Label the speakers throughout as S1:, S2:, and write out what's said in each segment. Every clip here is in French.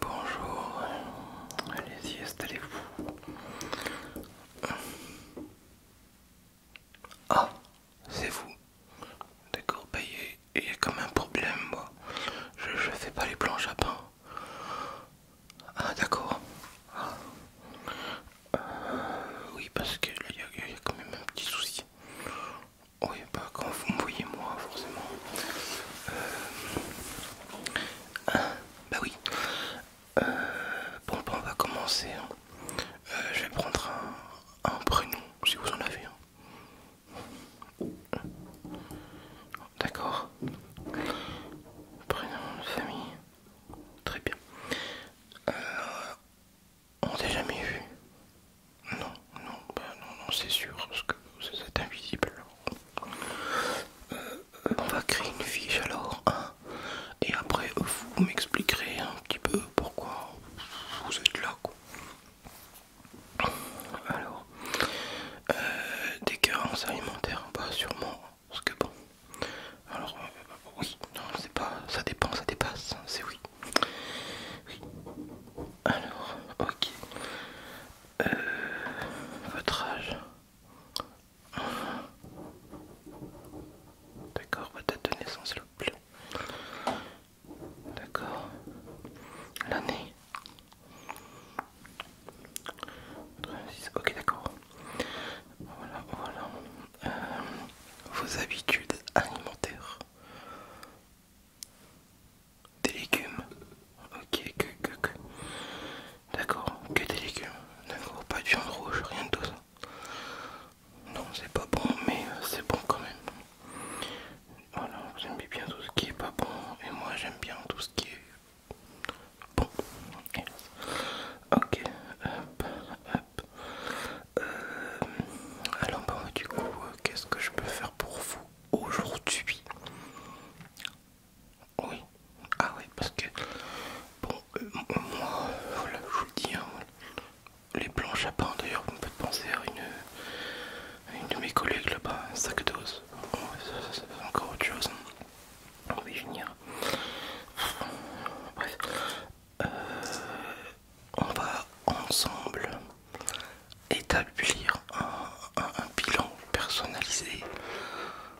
S1: Bonjour, allez-y, installez-vous. Ah, c'est vous. D'accord, bah il y, a quand même un problème, moi. Je, je fais pas les planches à pain. Ah, d'accord. Ah. Euh, oui, parce que là, il y, a quand même un petit souci. Oui, pas bah, quand vous me voyez, moi, forcément. Euh, ah, bah oui. Euh, bon, bah, on va commencer. Hein. Euh, je vais prendre un, prénom si vous en avez hein. D'accord. Prénom de famille. Très bien. Euh, on t'a jamais vu Non, non, bah, non, non, c'est sûr, parce que c'est invisible. on va créer une fiche alors, et après vous m'expliquerez un petit peu pourquoi vous êtes là quoi. Alors, euh, des carences alimentaires, bah sûrement, parce que bon, alors euh, non, c'est pas, ça dépend, ça dépasse, hein, c'est oui. Alors, ok. Euh, votre âge D'accord, votre date de naissance, le bleu. D'accord. L'année. 86, ok d'accord. Voilà, voilà. Euh, vos habitudes alimentaires. Des légumes. Ok, que, que, que. D'accord, que des légumes. D'accord, pas de viande rouge, rien de tout ça. Non, c'est pas bon, mais euh, c'est bon quand même. Voilà, vous aimez bien tout ce qui est pas bon, et moi j'aime bien tout ce qui est bon. Ok, hop, hop. Euh, alors, bah, du coup, euh, qu'est-ce que je peux faire pour vous aujourd'hui Oui, ah oui, parce que bon, euh, moi, voilà, je vous le dis, hein, les planches à pain d'ailleurs, vous me faites penser à une, une de mes collègues là-bas, un sac d'os. ça, fait encore autre chose. Hein. Euh, on va ensemble établir un bilan personnalisé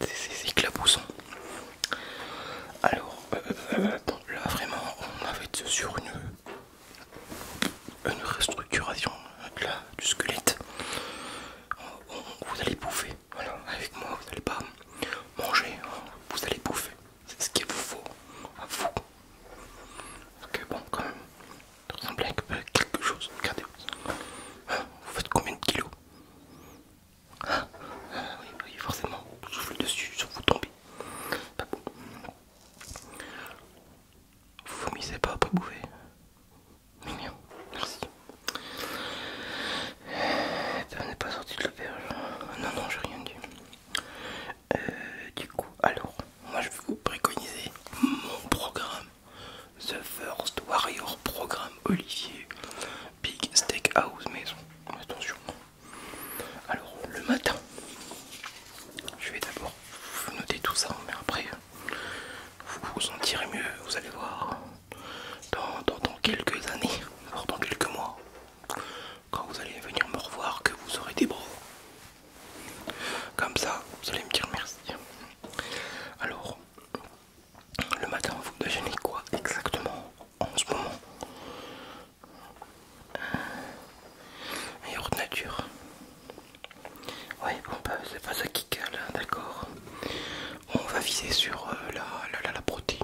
S1: c'est éclaboussons. Alors, euh, euh, euh, là vraiment, on avait sur une, une restructuration du squelette. vous allez bouffer, avec moi, vous n'allez pas manger, hein, vous allez bouffer. C'est ce qu'il vous faut à vous. Parce bon, quand même, ça ressemble quelque chose. Regardez, hein, vous faites combien de kilos ah, oui, forcément, je souffle dessus, je vous tombez. Pas bon. Vous vomissez pas pas bouffer. Mignon, merci. Ça n'est pas sorti de l'auberge. Non, non, j'ai rien dit. Euh, du coup, alors, moi je vais vous préconiser mon programme. The First Warrior Programme Olivier. Big House maison. Attention. Alors le matin, je vais d'abord vous noter tout ça, mais après vous vous sentirez mieux. Vous allez voir dans, quelques années, pendant dans quelques mois, quand vous allez venir me revoir, que vous aurez des bras. Comme ça, vous allez me dire merci. Alors, le matin, vous déjeunez quoi exactement en ce moment Un euh, yaourt nature. Ouais, bon, bah, c'est pas ça qui cale, là, hein, d'accord. On va viser sur euh, la, la, la, protéine.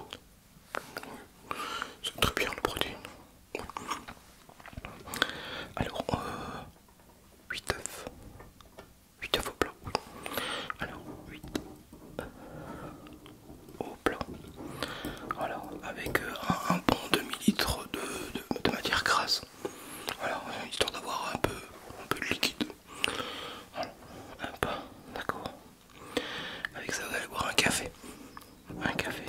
S1: C'est très bien la protéine. Alors, 8 euh, œufs. 8 œufs au blanc. Alors 8 au blanc. Voilà, avec euh, un, bon demi-litre de, matière grasse. Voilà, histoire d'avoir un peu, un peu de liquide. Voilà, un pain, d'accord. Avec ça, vous allez boire un café. Un café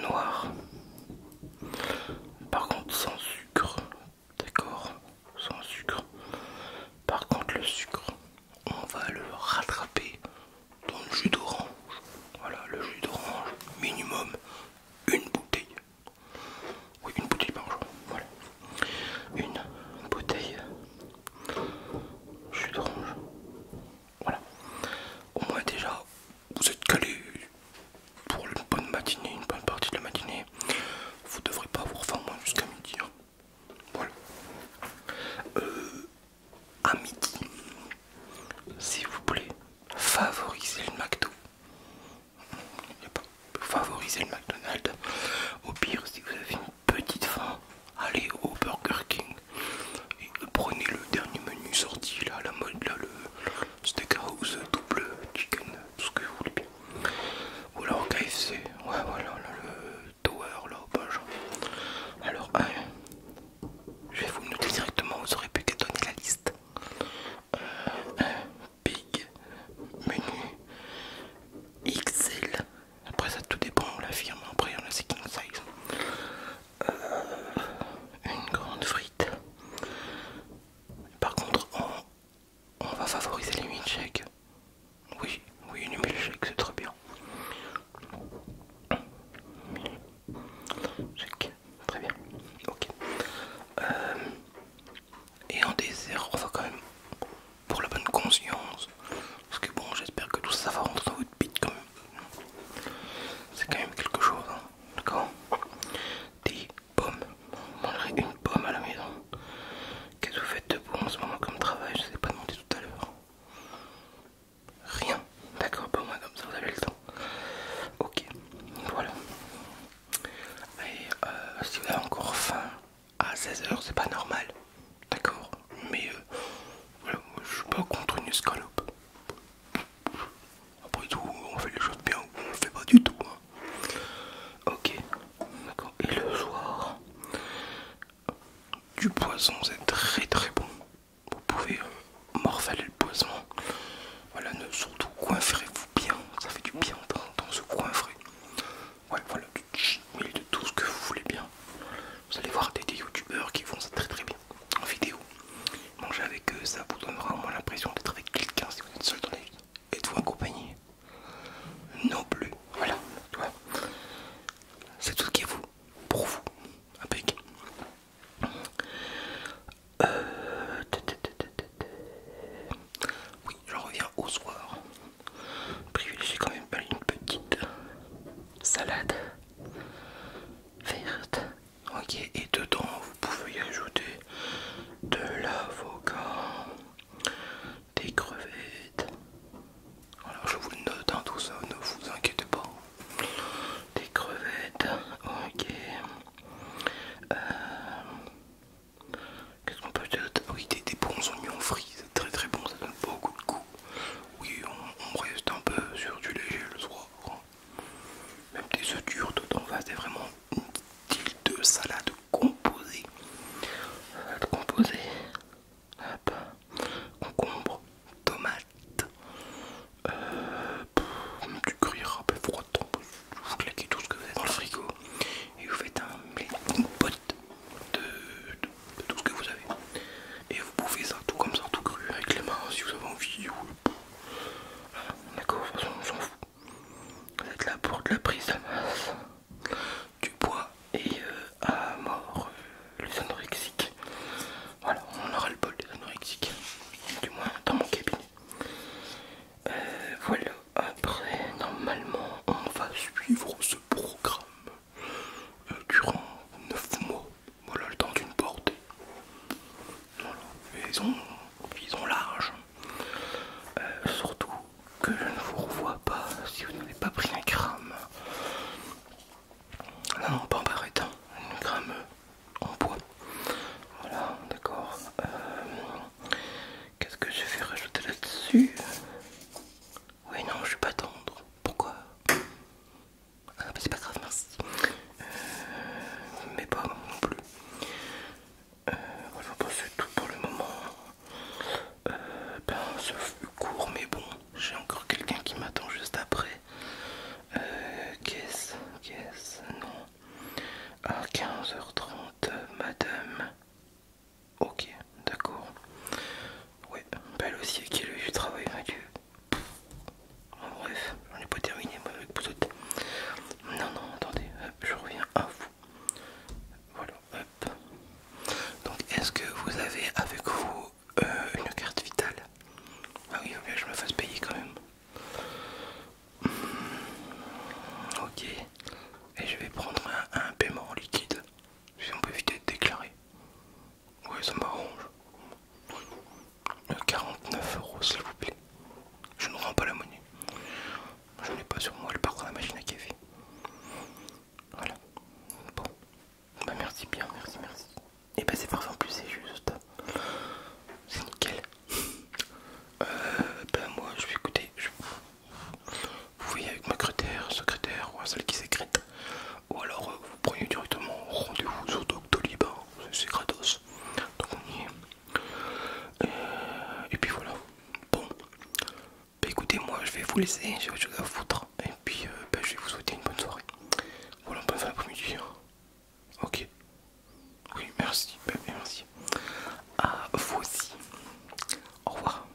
S1: noir. Par contre, sans sucre, d'accord, sans sucre. Par contre, le sucre, on va le rattraper dans le jus d'orange. Voilà, le jus d'orange, minimum une bouteille. Oui, une bouteille par jour. Voilà, une bouteille jus d'orange. Voilà, au moins déjà, vous êtes calé pour une bonne matinée, une bonne partie de la matinée vous devrez pas avoir faim moins jusqu'à midi. Hein. Voilà. Euh, à midi, s'il vous plaît, favorisez le McDo. Favorisez le McDonald's. Au pire, si vous avez une petite faim, allez au Burger King et prenez le dernier menu sorti là, la mode là, le steakhouse double chicken ce que vous voulez bien. Ou alors KFC, ouais voilà, le tower là au Alors, ah, je vais vous noter directement, vous aurez pu qu'à donner la liste. Euh, big, menu, XL. Après ça tout dépend, on la firme, après on a c'est king size. Euh, une grande frite. Par contre en Oh, on va favoriser les milkshakes. Oui, oui, les check, c'est très bien. très bien. Ok. Euh, et en désert, on va quand même pour la bonne conscience. Parce que bon, j'espère que tout ça va rentrer dans votre bite quand même. C'est quand même quelque chose, hein, d'accord pomme. On une pomme à la maison. Qu'est-ce que vous faites de bon en ce moment comme travail Je ne vous ai pas demandé tout à l'heure. Rien. D'accord, pas moins comme ça, vous avez le temps. Ok, voilà. Et euh, si vous avez encore faim à 16h, c'est pas normal. D'accord Mais euh, voilà, je suis pas contre une escalope. Après tout, on fait les choses bien ou on le fait pas du tout. Hein. Ok, d'accord. Et le soir, du poison, c'est très très bon. Vous pouvez euh, morfaler le poison. Voilà, ne surtout coiffrez-vous bien. Ça fait du bien dans, ce coiffrer. Ouais, voilà, du de tout ce que vous voulez bien. Vous allez voir des, youtubeurs qui font ça très très bien en vidéo. Manger avec eux, ça vous donnera au moins l'impression d'être avec quelqu'un si vous êtes seul dans la vie et vous accompagner non plus voilà c'est tout ce qui est vous pour vous avec. euh... oui je reviens au soir Privilégiez quand même une petite salade verte ok et dedans vous pouvez y ajouter de l'avocat, des crevettes. Alors je vous le note, hein, tout ça, ne vous inquiétez pas. Des crevettes, ok. Euh, qu'est-ce qu'on peut dire ah Oui, des, bons oignons frits, très très bon, ça donne beaucoup de goût. Oui, on, reste un peu sur du léger le soir. Hein. Même des œufs durs tout en face, c'est vraiment une petite de salade composée. Salade composée. Concombre, tomate, euh, du curry, râpé froid, vous claquez tout ce que vous avez dans le frigo et vous faites un, une pote de, tout ce que vous avez. Et vous pouvez ça tout comme ça, tout cru avec les mains si vous avez envie. Hein, d'accord, on s'en fout. Vous êtes là pour de la prise du bois et à euh, mort euh, les anorexiques. Voilà, on aura le bol des anorexiques, du moins dans mon cabinet. Euh, voilà, après, normalement, on va suivre ce programme durant 9 mois. Voilà, le temps d'une porte ils ont, large. Euh, surtout que je ne vous revois pas si vous n'avez pas pris un gramme. Non, non, pas en barrette, hein. un gramme en bois. Voilà, d'accord. Euh, qu'est-ce que je vais rajouter là-dessus Oui, non, je vais pas tendre. Pourquoi ah, mais C'est pas grave, merci. Euh, mais pas non plus. Euh, voilà, c'est tout pour le moment. Euh, ben, ce fut court, mais bon, j'ai encore quelqu'un qui m'attend juste après. Euh, qu'est-ce Qu'est-ce Non. À 15h30, madame. Ok, d'accord. Ouais, belle aussi qui le du travail, Mathieu. Oh, bref, j'en ai pas terminé moi avec vous autres. Non, non, attendez, je reviens à vous. Voilà, hop. Donc, est-ce que vous avez avec vous euh, une carte vitale Ah oui, il je me fasse payer quand même. Hmm, ok, et je vais prendre un, paiement en liquide. Si on peut éviter de déclarer. Ouais, ça m'arrange. 49 euros s'il vous plaît. Je ne rends pas la monnaie. Je n'ai pas sur moi le parcours de la machine à café. Voilà. Bon. Bah merci bien, merci, merci. Et bah c'est parfait en plus, c'est juste. C'est nickel. Euh, bah moi je vais écouter. Vous voyez avec ma secrétaire, secrétaire ou celle qui sécrète. Ou alors euh, vous prenez directement rendez-vous sur Doctolib. Hein c'est gratos. Donc on y est. Euh, et, puis voilà. Bon. Bah écoutez, moi je vais vous laisser, Je vais chose à foutre. Et puis euh, bah, je vais vous souhaiter une bonne soirée. Voilà, bonne fin d'après-midi. Ok. Oui, merci. Bah, merci. À vous aussi. Au revoir.